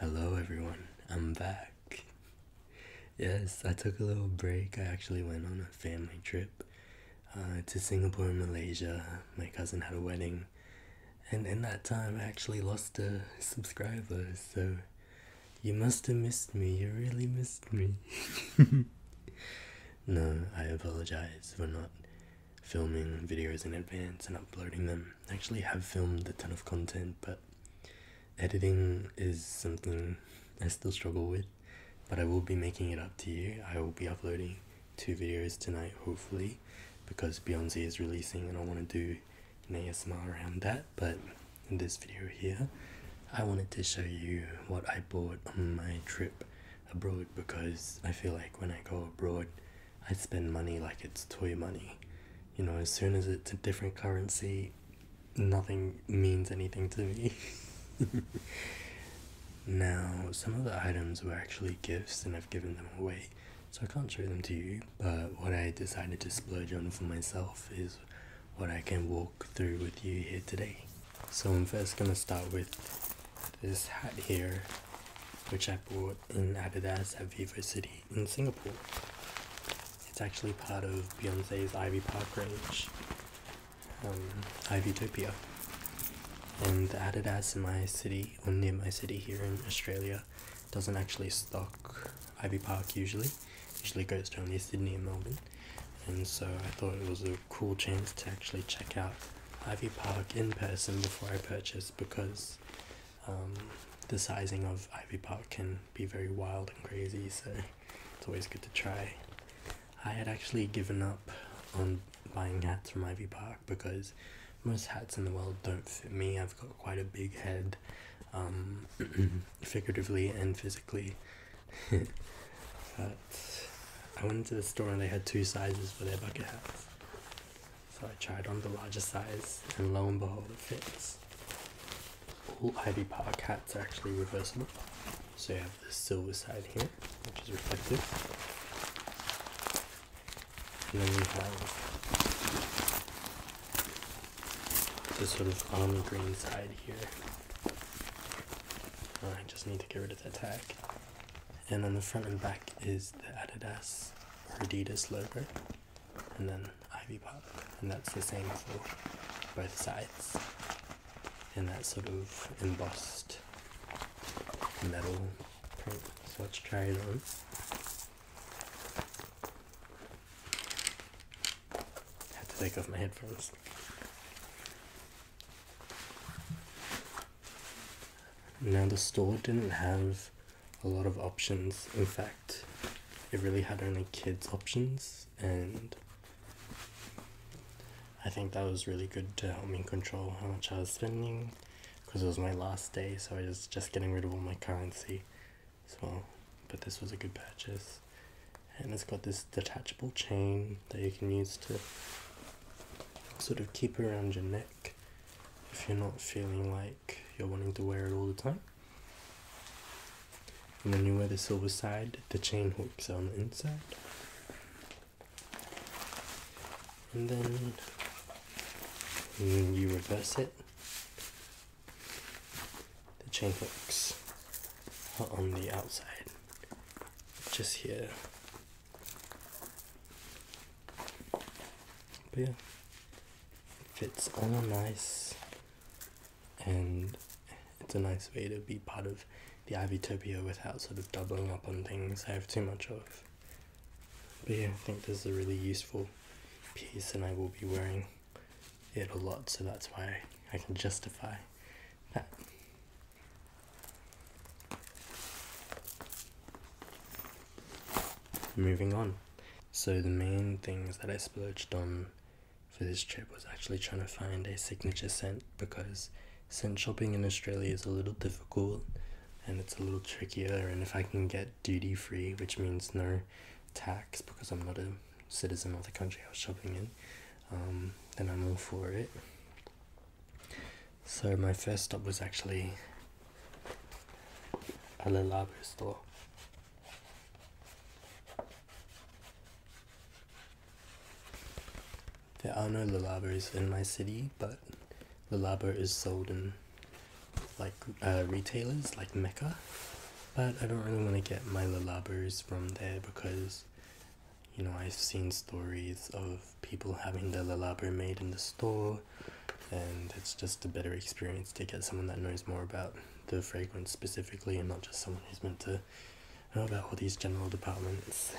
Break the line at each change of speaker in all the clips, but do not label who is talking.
Hello everyone, I'm back. Yes, I took a little break. I actually went on a family trip uh, to Singapore and Malaysia. My cousin had a wedding, and in that time, I actually lost a subscriber. So, you must have missed me. You really missed me. no, I apologize for not filming videos in advance and uploading them actually have filmed a ton of content, but editing is something I still struggle with. But I will be making it up to you. I will be uploading two videos tonight, hopefully, because Beyonce is releasing and I want to do an ASMR around that. But in this video here, I wanted to show you what I bought on my trip abroad because I feel like when I go abroad, I spend money like it's toy money. You know, as soon as it's a different currency, nothing means anything to me. now, some of the items were actually gifts and I've given them away, so I can't show them to you. But what I decided to splurge on for myself is what I can walk through with you here today. So, I'm first going to start with this hat here which I bought in Adidas at Vivo City in Singapore. It's actually part of Beyonce's Ivy Park range, um, Ivytopia. And the Adidas in my city, or near my city here in Australia, doesn't actually stock Ivy Park usually. Usually goes to only Sydney and Melbourne. And so I thought it was a cool chance to actually check out Ivy Park in person before I purchased because um, the sizing of Ivy Park can be very wild and crazy, so it's always good to try. I had actually given up on buying hats from Ivy Park because most hats in the world don't fit me. I've got quite a big head, um, figuratively and physically. but I went into the store and they had two sizes for their bucket hats. So I tried on the larger size, and lo and behold, it fits. All Ivy Park hats are actually reversible. So you have the silver side here, which is reflective. And then we have the sort of army green side here. Oh, I just need to get rid of the tag. And on the front and back is the Adidas or Adidas logo and then ivy pop, and that's the same for both sides and that sort of embossed metal print. So let's try it on. I have to take off my headphones. Now the store didn't have a lot of options. In fact, it really had only kids' options, and I think that was really good to help me control how much I was spending because it was my last day, so I was just getting rid of all my currency. So, but this was a good purchase, and it's got this detachable chain that you can use to sort of keep around your neck if you're not feeling like you're wanting to wear it all the time. And then you wear the silver side, the chain hooks on the inside. And then, and then you reverse it. The chain hooks are on the outside, just here. But yeah, fits all nice and it's a nice way to be part of the Ivytopia without sort of doubling up on things I have too much of. But yeah, I think this is a really useful piece and I will be wearing it a lot so that's why I can justify that. Moving on. So, the main things that I splurged on for this trip was actually trying to find a signature scent because scent shopping in Australia is a little difficult and it's a little trickier. And if I can get duty free, which means no tax because I'm not a citizen of the country I was shopping in, um, then I'm all for it. So, my first stop was actually a Lilabo store. There are no Lalabers in my city, but Lalaber is sold in like uh, retailers like Mecca. But I don't really want to get my Lalabers from there because you know I've seen stories of people having their Lalaber made in the store and it's just a better experience to get someone that knows more about the fragrance specifically and not just someone who's meant to know about all these general departments.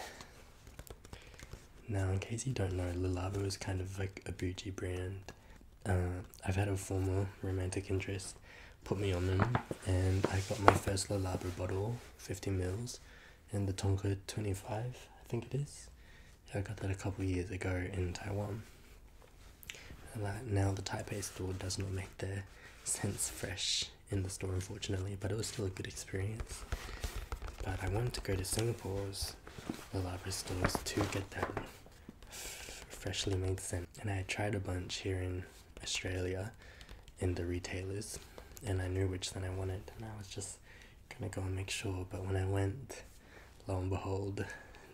Now, in case you don't know, Lilabo is kind of like a bougie brand. Uh, I've had a former romantic interest put me on them, and I got my first Lilabo bottle, 50 mils, and the Tonka 25, I think it is. I got that a couple years ago in Taiwan. And now the Taipei store does not make the scents fresh in the store, unfortunately, but it was still a good experience. But I wanted to go to Singapore's Lavas stores to get that freshly made scent. And I tried a bunch here in Australia in the retailers, and I knew which scent I wanted, and I was just gonna go and make sure. But when I went, lo and behold,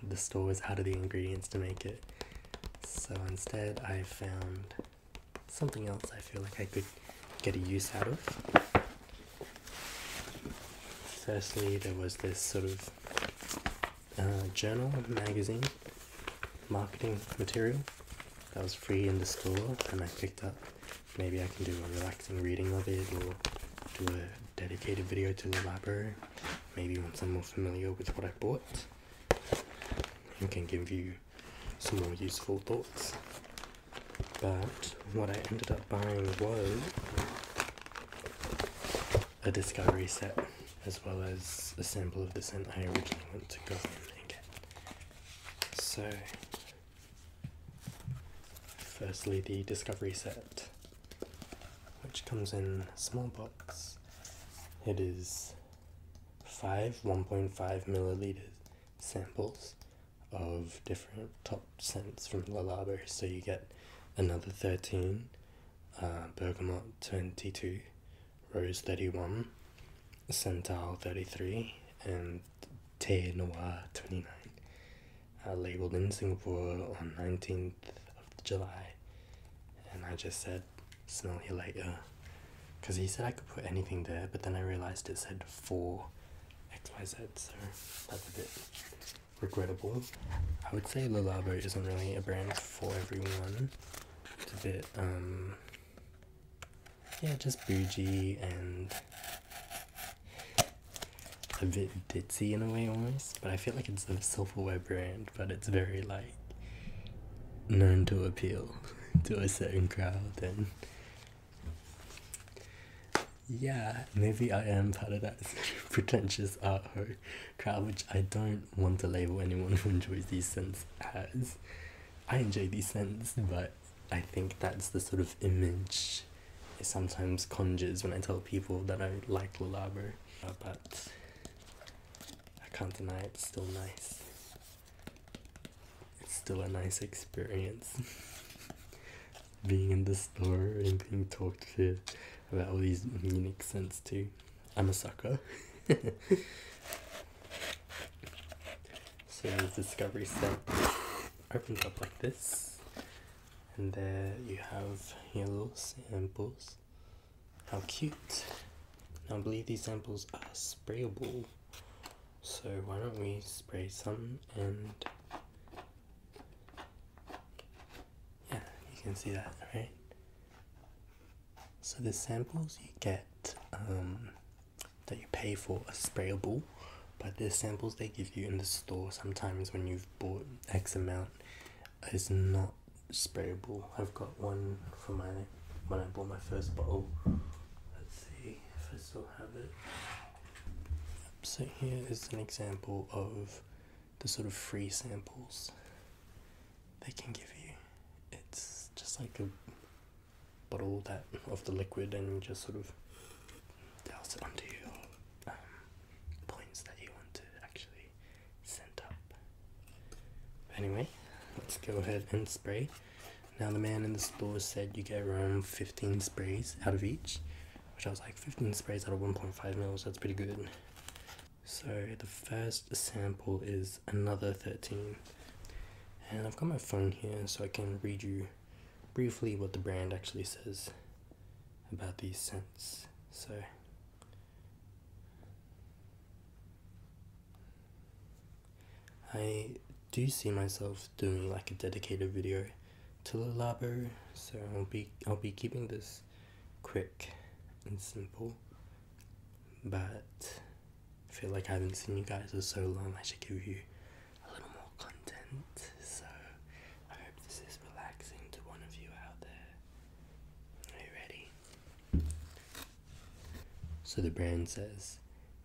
the store was out of the ingredients to make it. So instead, I found something else I feel like I could get a use out of. Firstly, there was this sort of uh, journal magazine marketing material that was free in the store, and I picked up. Maybe I can do a relaxing reading of it or do a dedicated video to the library maybe once I'm more familiar with what I bought I can give you some more useful thoughts. But what I ended up buying was a discovery set as well as a sample of the scent I originally went to go in and get. So, firstly, the discovery set which comes in small box. It is five 1.5 milliliters samples of different top scents from La So you get another 13, uh, bergamot 22, rose 31, santal 33, and Te Noir 29 uh, labeled in Singapore on 19th of July. And I just said, smell you later. Because he said I could put anything there, but then I realized it said for XYZ, so that's a bit regrettable. I would say Lalabo isn't really a brand for everyone. It's a bit, um, yeah, just bougie and a bit ditzy in a way almost, but I feel like it's a silverware brand, but it's very like known to appeal to a certain crowd and yeah, maybe I am part of that pretentious art crowd, which I don't want to label anyone who enjoys these scents as. I enjoy these scents, but I think that's the sort of image it sometimes conjures when I tell people that I like Lalabro. Uh, but I can't deny it's still nice. It's still a nice experience being in the store and being talked to about all these unique scents too. I'm a sucker. so the discovery set opens up like this, and there you have your little samples how cute. I believe these samples are sprayable. So why don't we spray some and yeah, you can see that, right? So the samples you get um, that you pay for are sprayable, but the samples they give you in the store sometimes when you've bought X amount is not Sprayable. I've got one from my when I bought my first bottle. Let's see if I still have it. So here is an example of the sort of free samples they can give you. It's just like a bottle that of the liquid and just sort of douse it onto your um, points that you want to actually Anyway, let's go ahead and spray. Now the man in the store said you get around 15 sprays out of each, which I was like 15 sprays out of 1.5 mils, that's pretty good. So the first sample is another 13. And I've got my phone here so I can read you briefly what the brand actually says about these scents. So I do see myself doing like a dedicated video to the labber, so I'll be I'll be keeping this quick and simple. But I feel like I haven't seen you guys for so long. I should give you a little more content. So I hope this is relaxing to one of you out there. Are you ready? So the brand says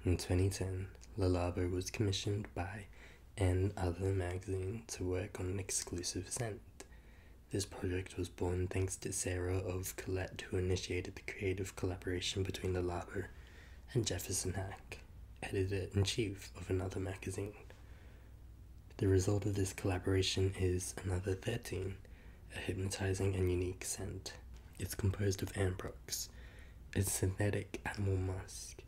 in 2010, Lalabo was commissioned by and other magazine to work on an exclusive scent. This project was born thanks to Sarah of Colette, who initiated the creative collaboration between the and Jefferson Hack, editor in chief of another magazine. The result of this collaboration is Another 13, a hypnotizing and unique scent. It's composed of ambrox, a synthetic animal musk,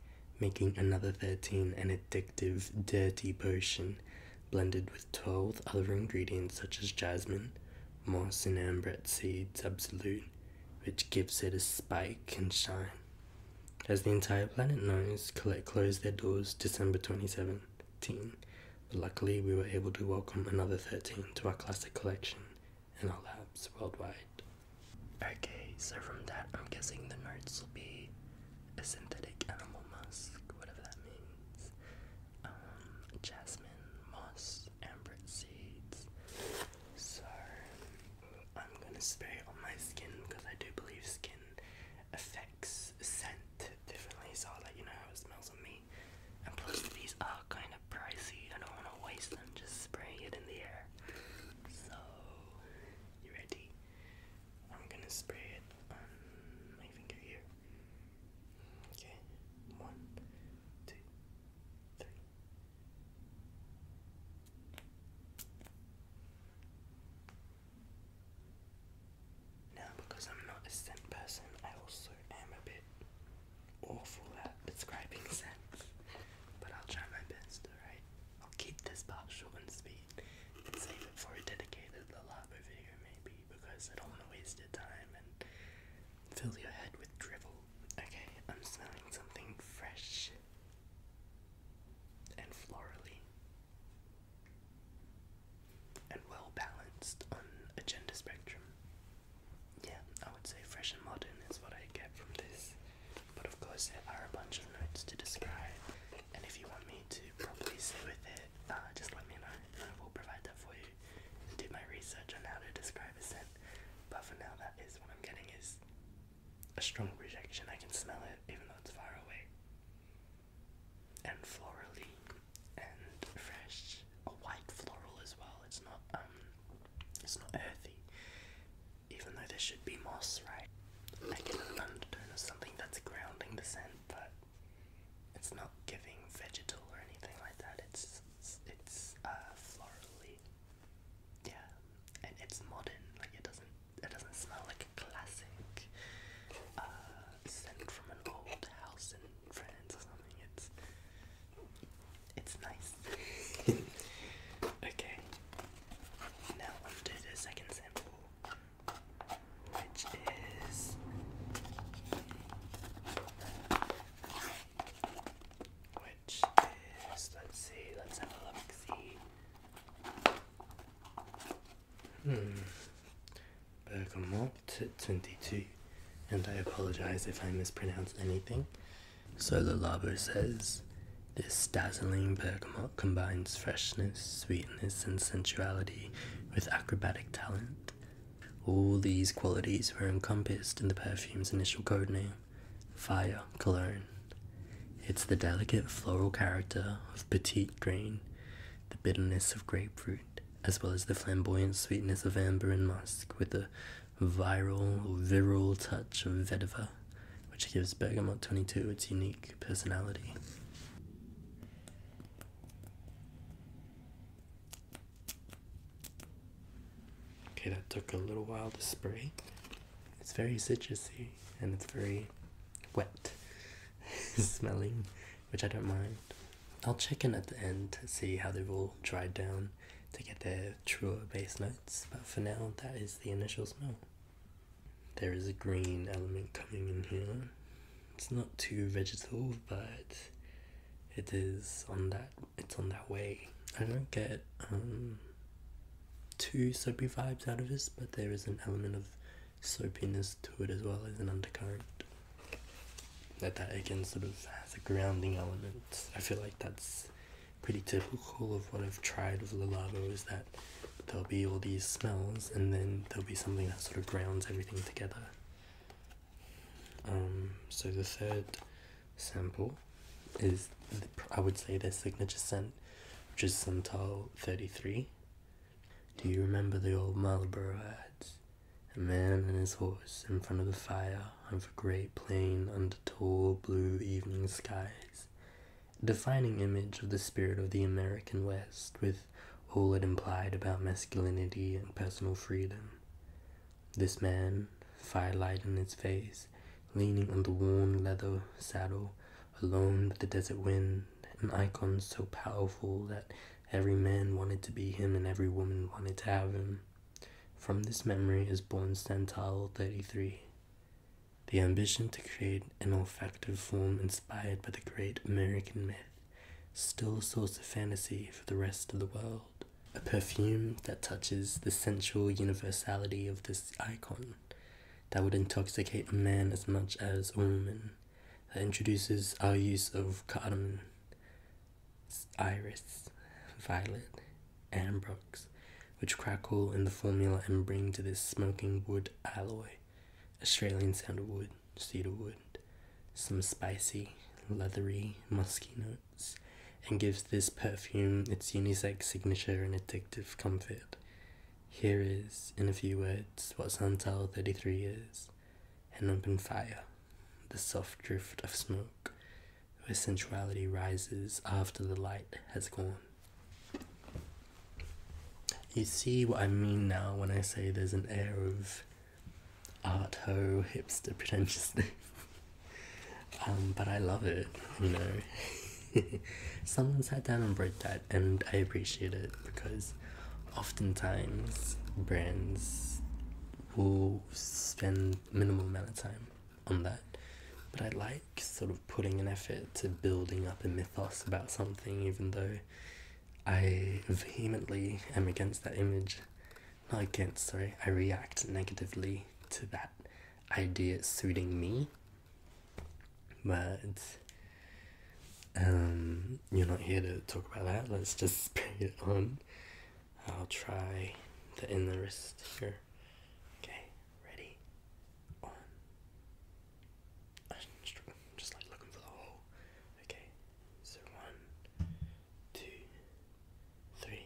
making Another 13 an addictive, dirty potion blended with 12 other ingredients such as jasmine, moss, and ambrette seeds absolute, which gives it a spike and shine. As the entire planet knows, Colette closed their doors December 27. 13. But luckily, we were able to welcome another 13 to our classic collection in our labs worldwide. Okay, so from that, I'm guessing the nerds will be a synthetic animal musk, whatever that means, um, jasmine, moss, amber seeds. So, I'm gonna spray it on my skin because I do believe skin affects scent differently, so I'll let you know how it smells on me. And plus, these are kind of pricey. I don't want to waste them just spraying it in the air. So, you ready? I'm gonna spray it on my finger here. Okay, one, two, three. Now, because I'm not a scent person, I also am a bit awful at describing scents. But I'll try my best, alright? I'll keep this part and sweet and save it for a dedicated Lalabo video, maybe, because I don't want to waste your time and fill your head with drivel. Okay, I'm smelling something fresh and florally and well balanced on a gender spectrum. Yeah, I would say fresh and modern is what I get from this, but of course, there are a bunch of notes to describe, and if you want me to properly sit with it, uh, just let me know and I will provide that for you do my research on how to describe a scent. But for now, that is what I'm getting is a strong rejection. I can smell it even though it's far away and florally and fresh. A white floral as well. It's not um it's not earthy. Even though there should be moss, right? I get an undertone of something that's grounding the scent, but it's not giving vegetal or anything like that. It's it's, it's uh florally. Yeah. And it's modern, like it doesn't it doesn't smell like a classic uh sent from an old house in France or something. It's it's nice. okay. Now on the second sample, which is which is let's see, let's have a look see. Hmm. Bergamot 22. And I apologize if I mispronounce anything. So the Labo says this dazzling bergamot combines freshness, sweetness, and sensuality with acrobatic talent. All these qualities were encompassed in the perfume's initial code name, Fire Cologne. It's the delicate floral character of petite green the bitterness of grapefruit, as well as the flamboyant sweetness of amber and musk, with the viral or virile touch of vetiver, which gives Bergamot 22 its unique personality. Okay, that took a little while to spray. It's very citrusy and it's very wet smelling which I don't mind. I'll check in at the end to see how they've all dried down to get their truer base notes, but for now, that is the initial smell. There is a green element coming in here. It's not too vegetal, but it is on that. It's on that way. I don't get um, too soapy vibes out of this, but there is an element of Sloppiness to it as well as an undercurrent. That that again sort of has a grounding element. I feel like that's pretty typical of what I've tried with Lalavo is that there'll be all these smells and then there'll be something that sort of grounds everything together. Um, so the third sample is I would say their signature scent, which is Santal 33. Do you remember the old Marlborough ads? A man and his horse in front of the fire on a great plain under tall blue evening skies. A defining image of the spirit of the American West with all it implied about masculinity and personal freedom. This man, firelight in his face, leaning on the worn leather saddle, alone with the desert wind, an icon so powerful that Every man wanted to be him and every woman wanted to have him. From this memory is born Stendhal 33. The ambition to create an olfactory form inspired by the great American myth, still a source of fantasy for the rest of the world. A perfume that touches the sensual universality of this icon, that would intoxicate a man as much as a woman that introduces our use of cotton, iris, violet, and which crackle in the formula and bring to this smoking wood alloy Australian sandalwood, cedarwood, some spicy, leathery, musky notes, and gives this perfume its unisex signature and addictive comfort. Here is, in a few words, what Santal 33 is an open fire, the soft drift of smoke, where sensuality rises after the light has gone. You see what I mean now when I say there's an air of art ho hipster pretentiousness. Um, but I love it, you know. Someone sat down and wrote that and I appreciate it because oftentimes brands will spend minimal amount of time on that. But I like sort of putting an effort to building up a mythos about something even though I vehemently am against that image. Not against, sorry, I react negatively to that idea suiting me. But um, you're not here to talk about that. Let's just bring it on. I'll try the in the Okay, ready, on. just like looking for the hole. Okay, so one, two, three.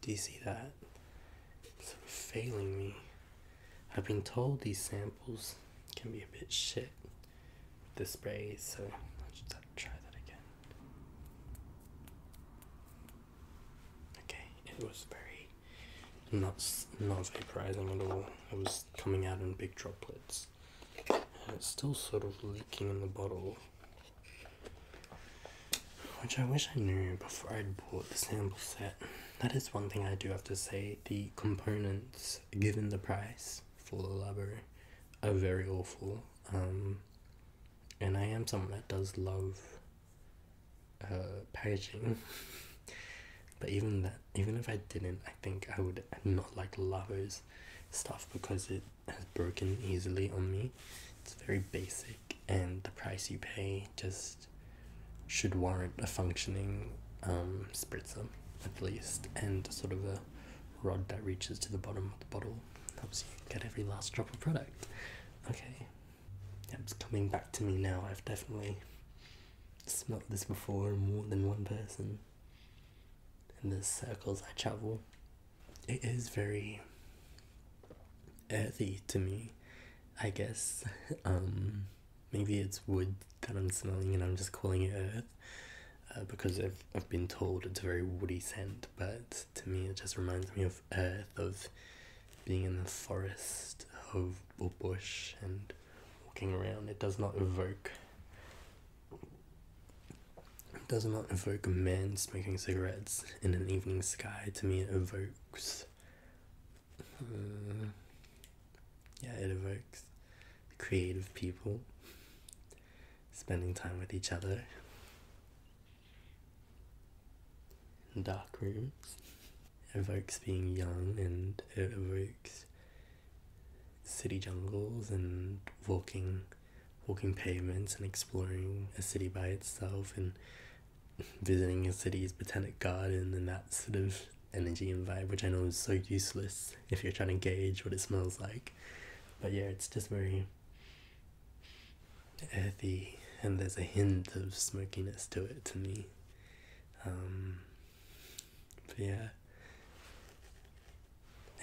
Do you see that? It's failing me. I've been told these samples can be a bit shit with the spray, so I'll try that again. Okay, it was very not not vaporizing at all. It was coming out in big droplets. And it's still sort of leaking in the bottle. Which I wish I knew before I bought the sample set. That is one thing I do have to say the components, given the price for the library, are very awful. Um, and I am someone that does love uh, packaging. but even that, even if I didn't, I think I would not like Lavo's stuff because it has broken easily on me. It's very basic, and the price you pay just should warrant a functioning um, spritzer at least, and sort of a rod that reaches to the bottom of the bottle helps you get every last drop of product. Okay, yeah, it's coming back to me now. I've definitely smelt this before in more than one person. In the circles I travel, it is very earthy to me. I guess. Um, maybe it's wood that I'm smelling and I'm just calling it earth uh, because I've, I've been told it's a very woody scent, but to me it just reminds me of earth, of being in the forest of, or bush and walking around. It does not evoke. It does not evoke a man smoking cigarettes in an evening sky. To me, it evokes Hmm. yeah, it evokes creative people spending time with each other in dark rooms. It evokes being young and it evokes city jungles and walking walking pavements and exploring a city by itself and visiting a city's botanic garden and that sort of energy and vibe, which I know is so useless if you're trying to gauge what it smells like. But yeah, it's just very earthy, and there's a hint of smokiness to it to me. Um, but yeah,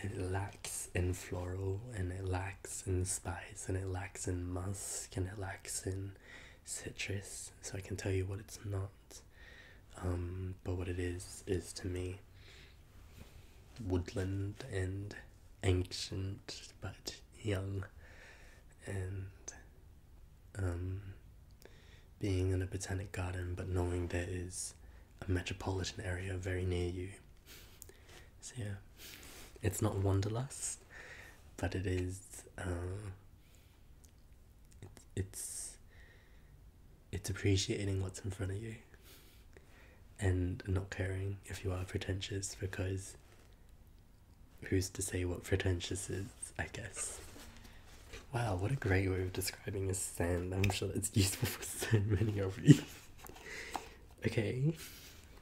it lacks in floral, and it lacks in spice, and it lacks in musk, and it lacks in citrus, so I can tell you what it's not. Um, but what it is, is to me woodland and ancient but young and um, being in a botanic garden but knowing there is a metropolitan area very near you. So yeah, it's not wanderlust but it is uh, it's it's appreciating what's in front of you and not caring if you are pretentious because who's to say what pretentious is, I guess. Wow, what a great way of describing a sand. I'm sure it's useful for so many of you. okay,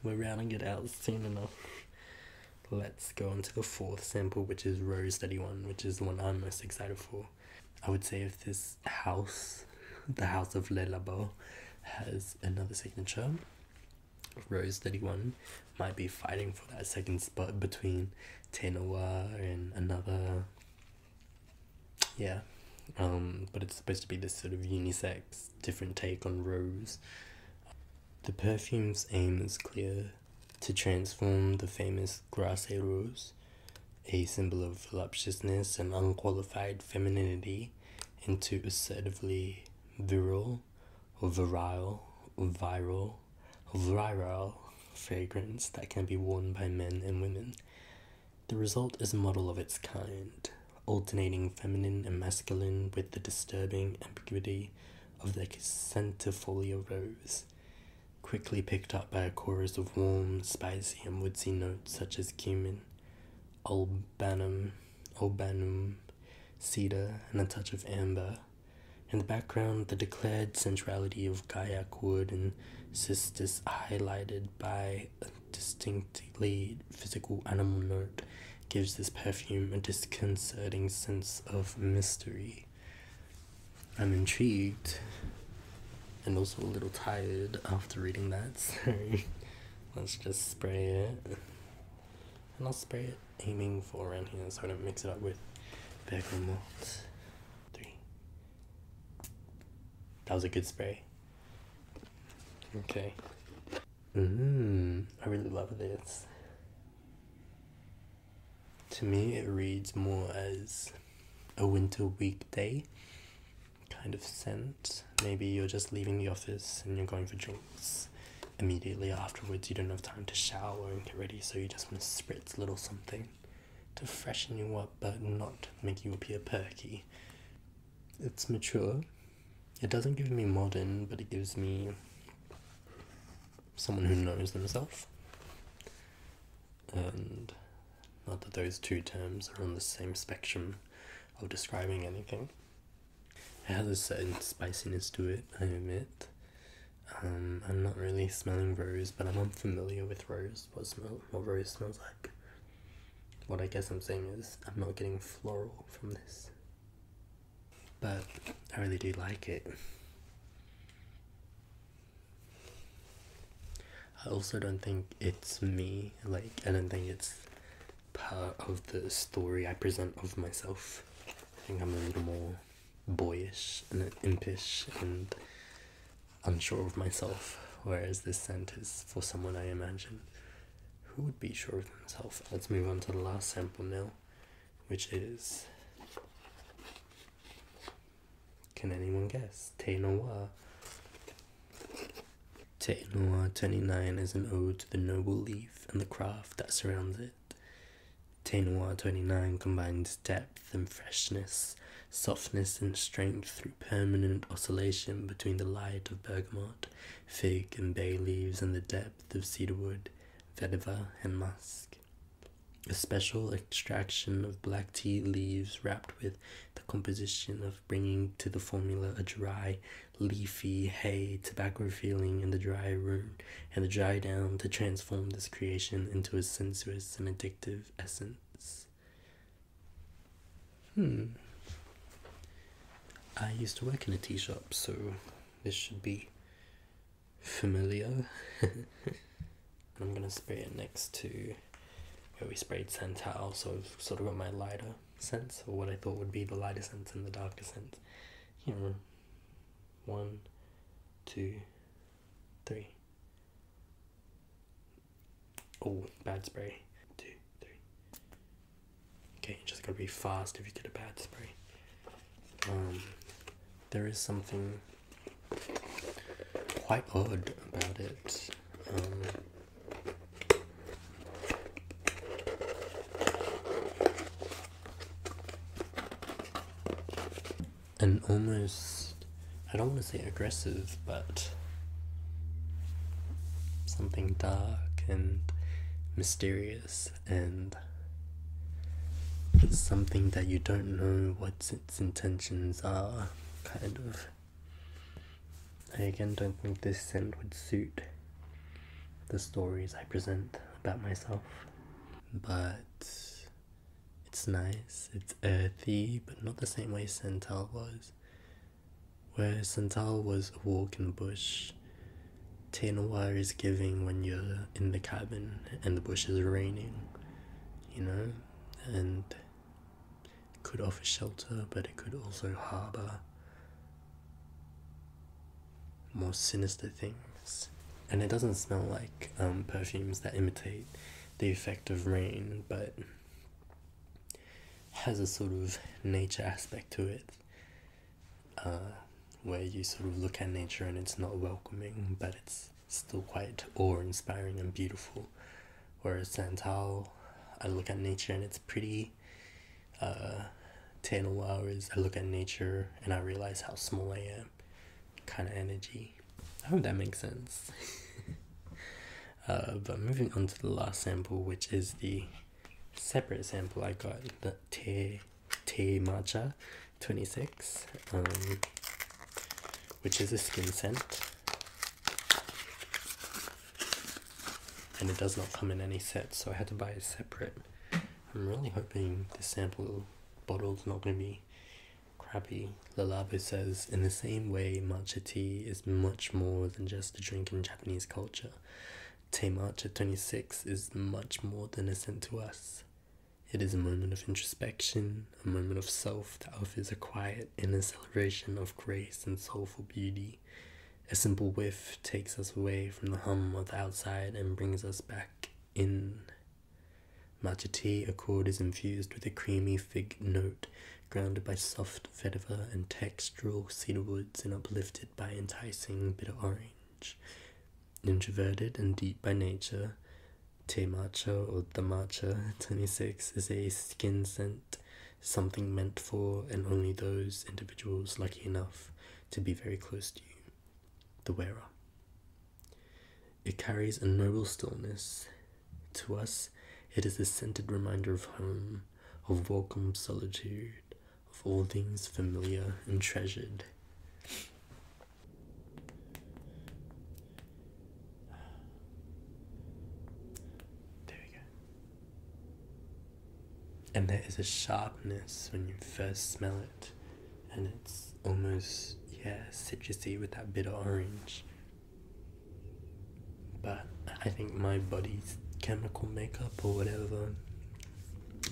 we're rounding it out soon enough. Let's go on to the fourth sample, which is Rose 31, which is the one I'm most excited for. I would say if this house, the house of Le Labo, has another signature, Rose 31 might be fighting for that second spot between Tenoa and another. Yeah. Um, but it's supposed to be this sort of unisex, different take on Rose. The perfume's aim is clear to transform the famous Grasse Rose, a symbol of voluptuousness and unqualified femininity, into assertively virile or virile virile viral or viral fragrance that can be worn by men and women. The result is a model of its kind, alternating feminine and masculine with the disturbing ambiguity of the centifolia rose, quickly picked up by a chorus of warm, spicy, and woodsy notes such as cumin, albanum, albanum, cedar, and a touch of amber. In the background, the declared centrality of kayak wood and cistus highlighted by a distinctly physical animal note gives this perfume a disconcerting sense of mystery. I'm intrigued and also a little tired after reading that, so let's just spray it. And I'll spray it aiming for around here so I don't mix it up with Becca Malt. Three. That was a good spray. Okay. Mmm, I really love this. To me, it reads more as a winter weekday kind of scent. Maybe you're just leaving the office and you're going for drinks. Immediately afterwards, you don't have time to shower and get ready, so you just want to spritz a little something to freshen you up but not make you appear perky. It's mature, it doesn't give me modern, but it gives me someone who knows themselves. And not that those two terms are on the same spectrum of describing anything. It has a certain spiciness to it, I admit. Um, I'm not really smelling rose, but I'm unfamiliar with rose, what, smell, what rose smells like. What I guess I'm saying is, I'm not getting floral from this. But I really do like it. I also don't think it's me, like, I don't think it's part of the story I present of myself. I think I'm a little more boyish and impish and unsure of myself, whereas this scent is for someone I imagine who would be sure of themselves. Let's move on to the last sample now which is. Can anyone guess? Te Noir. Te Noir 29 is an ode to the noble leaf and the craft that surrounds it. Te Noir 29 combines depth and freshness, softness and strength through permanent oscillation between the light of bergamot, fig, and bay leaves and the depth of cedarwood vetiver, and musk. A special extraction of black tea leaves wrapped with the composition of bringing to the formula a dry, leafy, hay, tobacco feeling in the dry room and the dry down to transform this creation into a sensuous and addictive essence. Hmm. I used to work in a tea shop, so this should be familiar. I'm gonna spray it next to where we sprayed Santal, so I've sort of got my lighter sense, or what I thought would be the lighter sense and the darker sense. Here, one, two, three. Oh, bad spray. Two, three. Okay, you just gotta be fast if you get a bad spray. Um, there is something quite odd about it. Um, and almost, I don't want to say aggressive, but something dark and mysterious and it's something that you don't know what its intentions are, kind of. I again don't think this scent would suit the stories I present about myself, but it's nice, it's earthy, but not the same way Santal was. Where Santal was a walk in the bush, which Tanoir is giving when you're in the cabin and the bushes are raining, you know, and could offer shelter, but it could also harbor more sinister things. And it doesn't smell like um, perfumes that imitate the effect of rain, but has a sort of nature aspect to it uh, where you sort of look at nature and it's not welcoming, but it's still quite awe-inspiring and beautiful. Whereas Santao, I look at nature and it's pretty. Uh, 10 hours, I look at nature and I realize how small I am. Kind of energy. I hope that makes sense. Uh, but moving on to the last sample, which is the separate sample I got, the Te tea matcha 26 um, which is a skin scent and it does not come in any set so i had to buy it separate i'm really hoping this sample bottle is not going to be crappy Lalabu says in the same way matcha tea is much more than just a drink in japanese culture March at 26 is much more than a scent to us. It is a moment of introspection, a moment of self that offers a quiet inner celebration of grace and soulful beauty. A simple whiff takes us away from the hum of the outside and brings us back in. Matcha tea accord is infused with a creamy fig note, grounded by soft vetiver and textural cedar woods and uplifted by enticing bitter orange. Introverted and deep by nature, Te Macho or The Macha 26 is a skin scent, something meant for and only those individuals lucky enough to be very close to you, the wearer. It carries a noble stillness. To us, it is a scented reminder of home, of welcome solitude, of all things familiar and treasured. There we go. And there is a sharpness when you first smell it, and it's almost, yeah, citrusy with that bit of orange. But I think my body's chemical makeup or whatever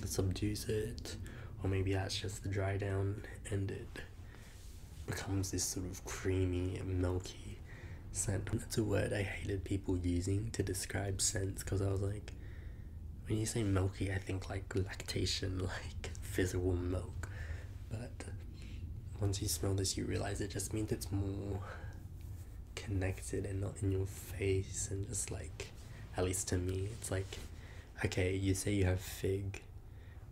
subdues it, or maybe that's just the dry down and it becomes this sort of creamy and milky scent. That's a word I hated people using to describe scents because I was like, when you say milky, I think like lactation, like physical milk. But once you smell this, you realize it just means it's more connected and not in your face, and just like, at least to me, it's like okay, you say you have fig,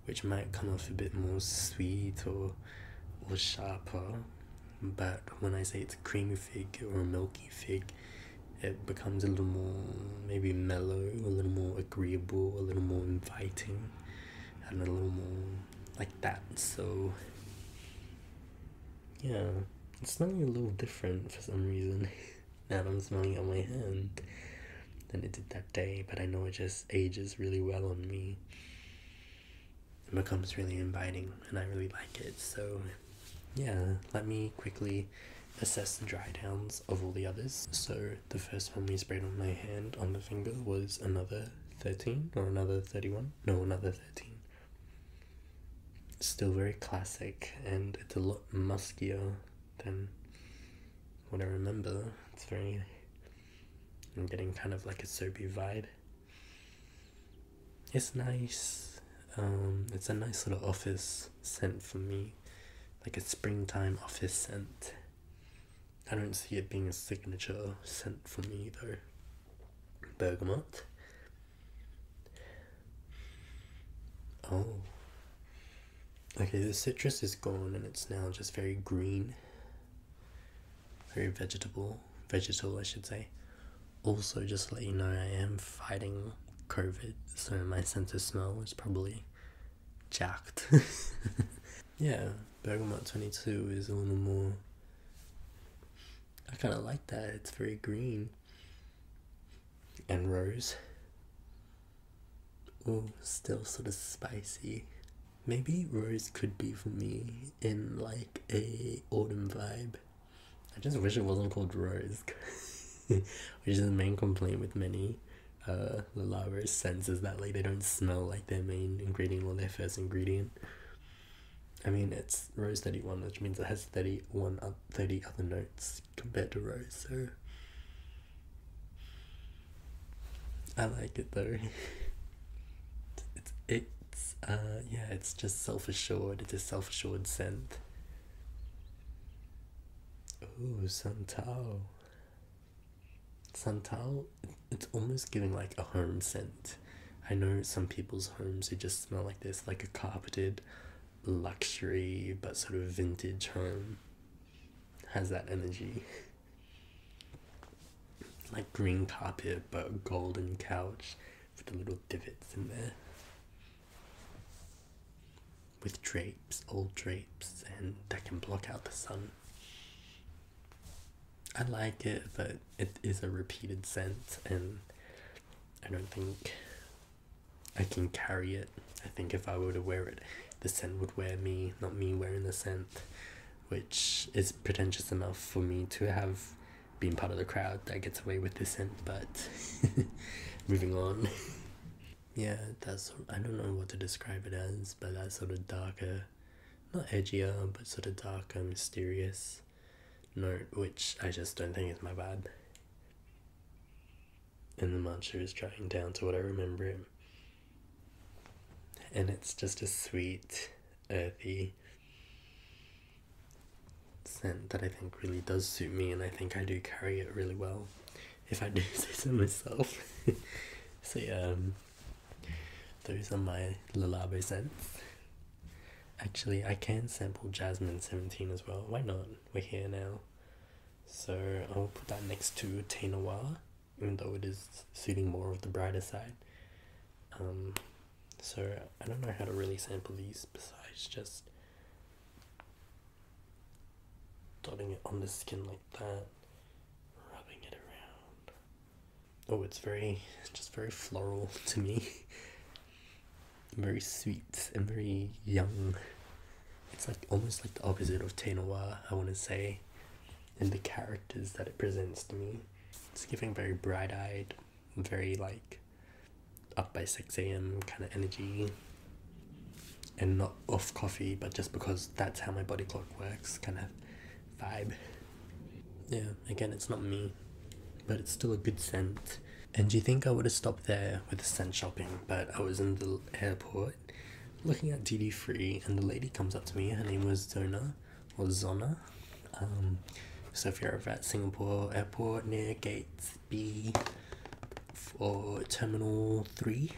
which might come off a bit more sweet or or sharper, but when I say it's creamy fig or milky fig, it becomes a little more maybe mellow, a little more agreeable, a little more inviting, and a little more like that. So yeah, it's something a little different for some reason. that I'm smelling on my hand than it did that day, but I know it just ages really well on me. It becomes really inviting and I really like it. So, yeah, let me quickly assess the dry downs of all the others. So, the first one we sprayed on my hand on the finger was another 13 or another 31. No, another 13. Still very classic and it's a lot muskier than what I remember. It's very. I'm getting kind of like a soapy vibe. It's nice. Um, it's a nice little office scent for me, like a springtime office scent. I don't see it being a signature scent for me though. Bergamot. Oh, Okay, the citrus is gone and it's now just very green, very vegetable, vegetable, I should say. Also, just let you know, I am fighting COVID, so my sense of smell is probably jacked. yeah, bergamot 22 is a little more. I kind of like that, it's very green and rose. Oh, still sort of spicy. Maybe rose could be for me in like a autumn vibe. I just wish it wasn't called rose, which is the main complaint with many uh, scents is that like they don't smell like their main ingredient or their first ingredient. I mean, it's rose 31, which means it has 31, uh, 30 other notes, compared to Rose, so I like it though. it's it's uh yeah, it's just self assured, it's a self assured scent. Ooh, Santal. Santal, it's almost giving like a home scent. I know some people's homes who just smell like this, like a carpeted luxury but sort of vintage home has that energy. Like green carpet but golden couch with the little divots in there. With drapes, old drapes, and that can block out the sun. I like it, but it is a repeated scent, and I don't think I can carry it. I think if I were to wear it, the scent would wear me, not me wearing the scent, which is pretentious enough for me to have been part of the crowd that gets away with the scent. But moving on. yeah, that's I don't know what to describe it as, but that sort of darker, not edgier, but sort of darker, mysterious note, which I just don't think is my vibe and the monster is drying down to what I remember him. And it's just a sweet, earthy scent that I think really does suit me, and I think I do carry it really well, if I do say so myself. so, yeah, um, those are my Lalabo scents. Actually, I can sample Jasmine 17 as well. Why not? We're here now. So I'll put that next to Tainawala, even though it is suiting more of the brighter side. Um, so I don't know how to really sample these besides just dotting it on the skin like that, rubbing it around. Oh, it's very, just very floral to me. very sweet and very young. It's like almost like the opposite of Tenoa, I want to say, in the characters that it presents to me. It's giving very bright eyed, very like up by 6 a.m. kind of energy. And not off coffee, but just because that's how my body clock works, kind of vibe. Yeah, again, it's not me, but it's still a good scent. And do you think I would have stopped there with the scent shopping, but I was in the airport looking at duty free, and the lady comes up to me. Her name was Zona or Zona. Um, so if you're at Singapore airport near Gate B for Terminal 3,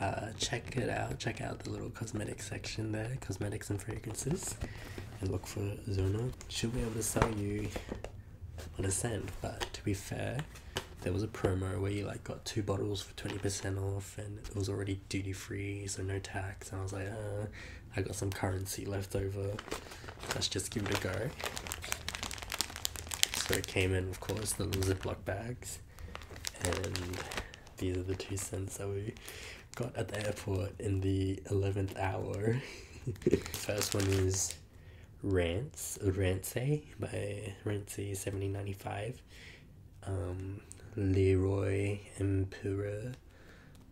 uh, check it out. Check out the little cosmetic section there, cosmetics and fragrances, and look for Zona. She'll be able to sell you understand. But to be fair, there was a promo where you like got two bottles for twenty percent off, and it was already duty free, so no tax. And I was like, uh, I got some currency left over. Let's just give it a go. So it came in, of course, the little Ziploc bags, and these are the two cents that we got at the airport in the eleventh hour. First one is Rance, Rancey eh? by Rancey eh, seventeen ninety five, um, Leroy Empura,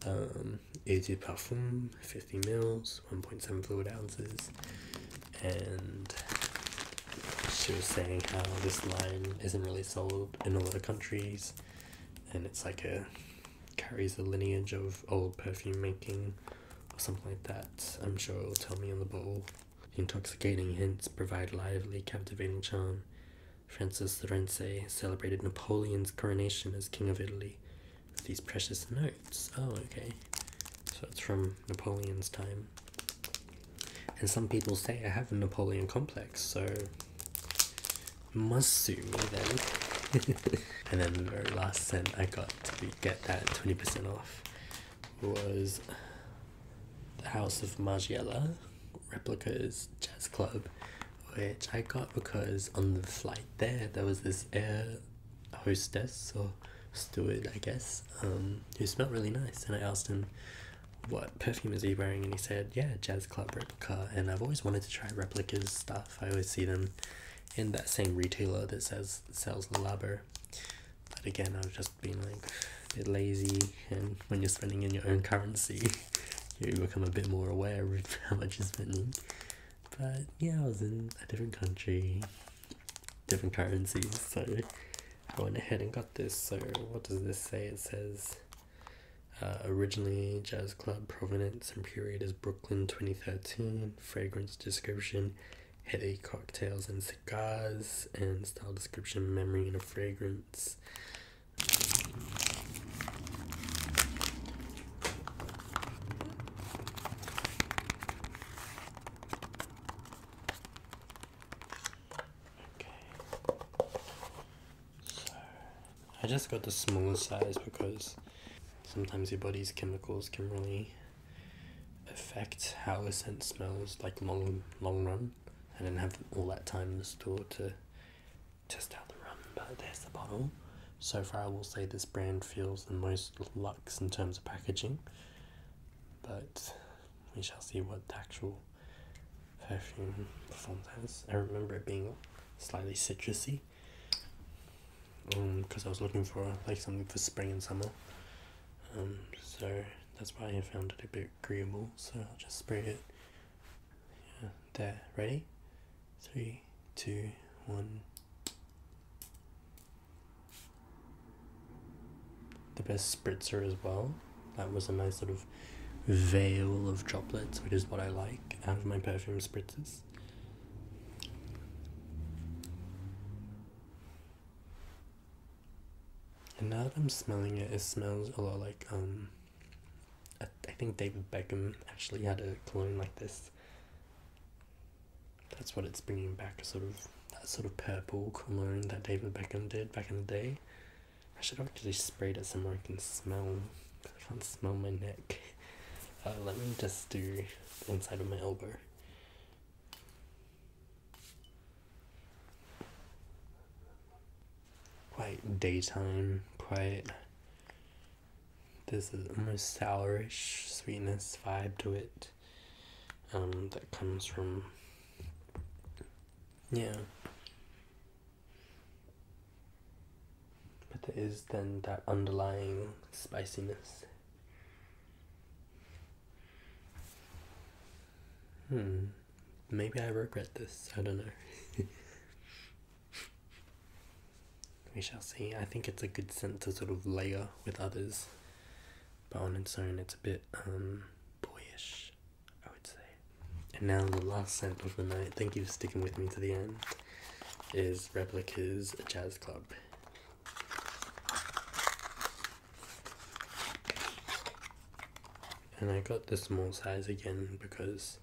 Eau um, de Parfum, 50 mils, 1.7 fluid ounces, and she was saying how this line isn't really sold in a lot of countries, and it's like a carries a lineage of old perfume making or something like that. I'm sure it'll tell me on the bottle. Intoxicating hints provide lively, captivating charm. Francis the Lorenze celebrated Napoleon's coronation as King of Italy these precious notes. Oh, okay. So it's from Napoleon's time. And some people say I have a Napoleon complex, so must sue me then. and then the very last cent I got to get that 20% off was the House of Margiela Replicas Jazz Club, which I got because on the flight there, there was this air hostess or steward, I guess, um, who smelled really nice. And I asked him what perfume is he wearing, and he said, Yeah, Jazz Club Replica. And I've always wanted to try replicas stuff, I always see them in that same retailer that says sells Labo but again, I've just been like a bit lazy, and when you're spending in your own currency, you become a bit more aware of how much you're spending. But yeah, I was in a different country, different currencies, so I went ahead and got this. So, what does this say? It says. Uh, originally, Jazz Club Provenance and Period is Brooklyn 2013. Fragrance description heady cocktails and cigars, and style description, memory, and a fragrance. Okay. So, I just got the smaller size because sometimes your body's chemicals can really affect how the scent smells like long long run and then have all that time in the store to test out the rum but there's the bottle so far i will say this brand feels the most luxe in terms of packaging but we shall see what the actual perfume performance. as i remember it being slightly citrusy because um, I was looking for like something for spring and summer. Um, so that's why I found it a bit agreeable. So I'll just spray it. there. Ready? Three, two, one. The best spritzer as well. That was a nice sort of veil of droplets, which is what I like out of my perfume spritzers. And now that I'm smelling it, it smells a lot like um. I, think David Beckham actually had a cologne like this. That's what it's bringing back, sort of that sort of purple cologne that David Beckham did back in the day. I should actually spray it somewhere I can smell. I can't smell my neck. Uh, let me just do the inside of my elbow. Quite daytime, quiet. This is almost sourish sweetness vibe to it. Um, that comes from. Yeah. But there is then that underlying spiciness. Hmm. Maybe I regret this. I don't know. we shall see. I think it's a good scent to sort of layer with others, but on its own, it's a bit um, boyish, I would say. And now the last scent of the night. Thank you for sticking with me to the end. Is Replica's Jazz Club. And I got the small size again because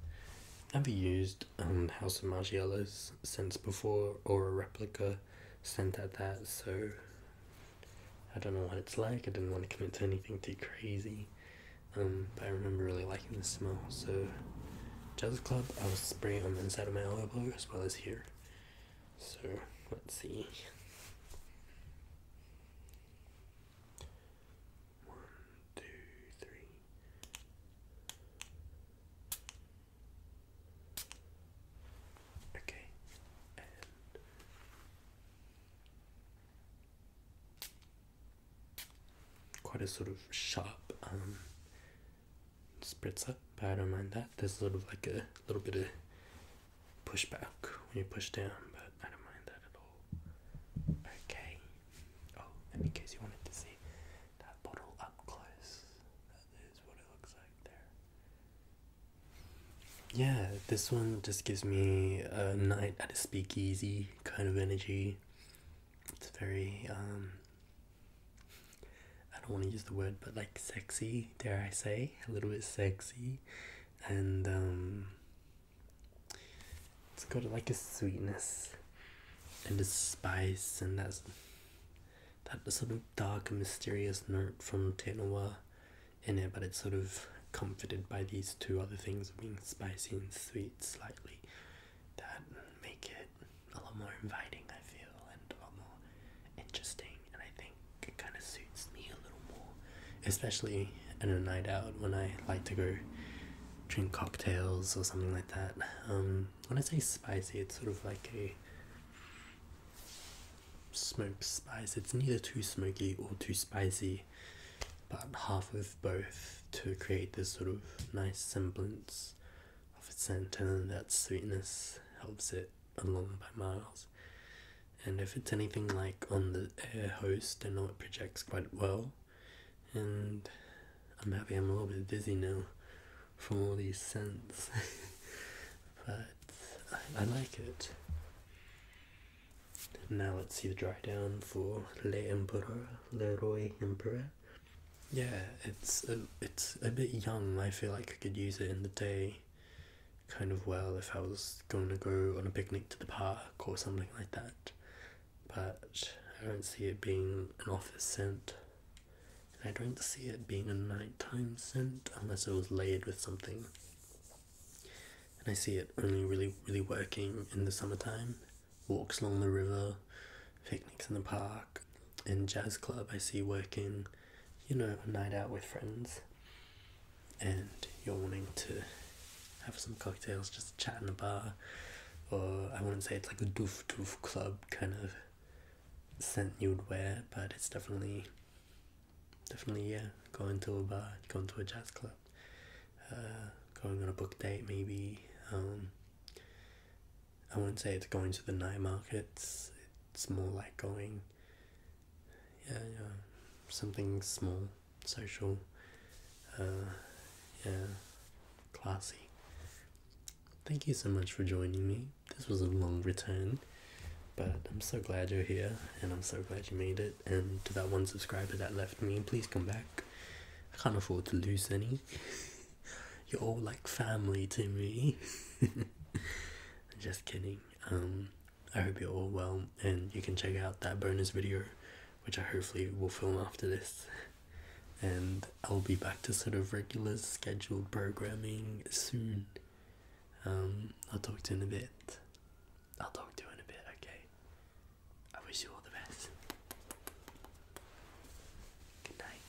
I've used um, House of Margiela's since before or a replica sent at that, so I don't know what it's like. I didn't want to commit to anything too crazy, um, but I remember really liking the smell. So, Jazz Club, i was spraying on the inside of my elbow as well as here. So let's see. One, two, three. Okay, quite a sort of sharp um, spritzer, but I don't mind that. There's sort of like a little bit of pushback when you push down, but I don't mind that at all. Okay. Oh, in case you wanted to see that bottle up close, that is what it looks like there. Yeah, this one just gives me a night at a speakeasy kind of energy. It's very um I don't want to use the word, but like sexy, dare I say, a little bit sexy, and um, it's got like a sweetness and a spice, and that's that sort of dark and mysterious note from Tenoa in it, but it's sort of comforted by these two other things being spicy and sweet slightly that make it a lot more inviting I feel and a lot more interesting and I think it kind of suits me a little more, especially in a night out when I like to go drink cocktails or something like that. Um, when I say spicy, it's sort of like a smoked spice. It's neither too smoky or too spicy, but half of both to create this sort of nice semblance of a scent, and that sweetness helps it along by miles. And if it's anything like on the air host, I know it projects quite well. And I'm happy I'm a little bit dizzy now from all these scents. but I, like it. Now let's see the dry down for Le Le Leroy Empereur. Yeah, it's a, it's a bit young. I feel like I could use it in the day kind of well if I was going to go on a picnic to the park or something like that. But I don't see it being an office scent. I don't see it being a nighttime scent unless it was layered with something. And I see it only really, really working in the summertime. Walks along the river, picnics in the park, in jazz club I see working you know, a night out with friends and you're wanting to have some cocktails, just chatting in the bar, or I wouldn't say it's like a doof doof club kind of scent you would wear, but it's definitely, definitely, yeah, going to a bar, going to a jazz club, uh, going on a book date maybe. Um, I wouldn't say it's going to the night markets, it's more like going yeah, yeah, something small, social, uh, yeah, classy. Thank you so much for joining me. This was a long return, but I'm so glad you're here, and I'm so glad you made it. And to that one subscriber that left me, please come back. I can't afford to lose any. You're all like family to me. just kidding. Um, I hope you're all well, and you can check out that bonus video, which I hopefully will film after this. And I'll be back to sort of regular scheduled programming soon. Um, I'll talk to you in a bit. I'll talk to you in a bit, okay? I wish you all the best. Good night.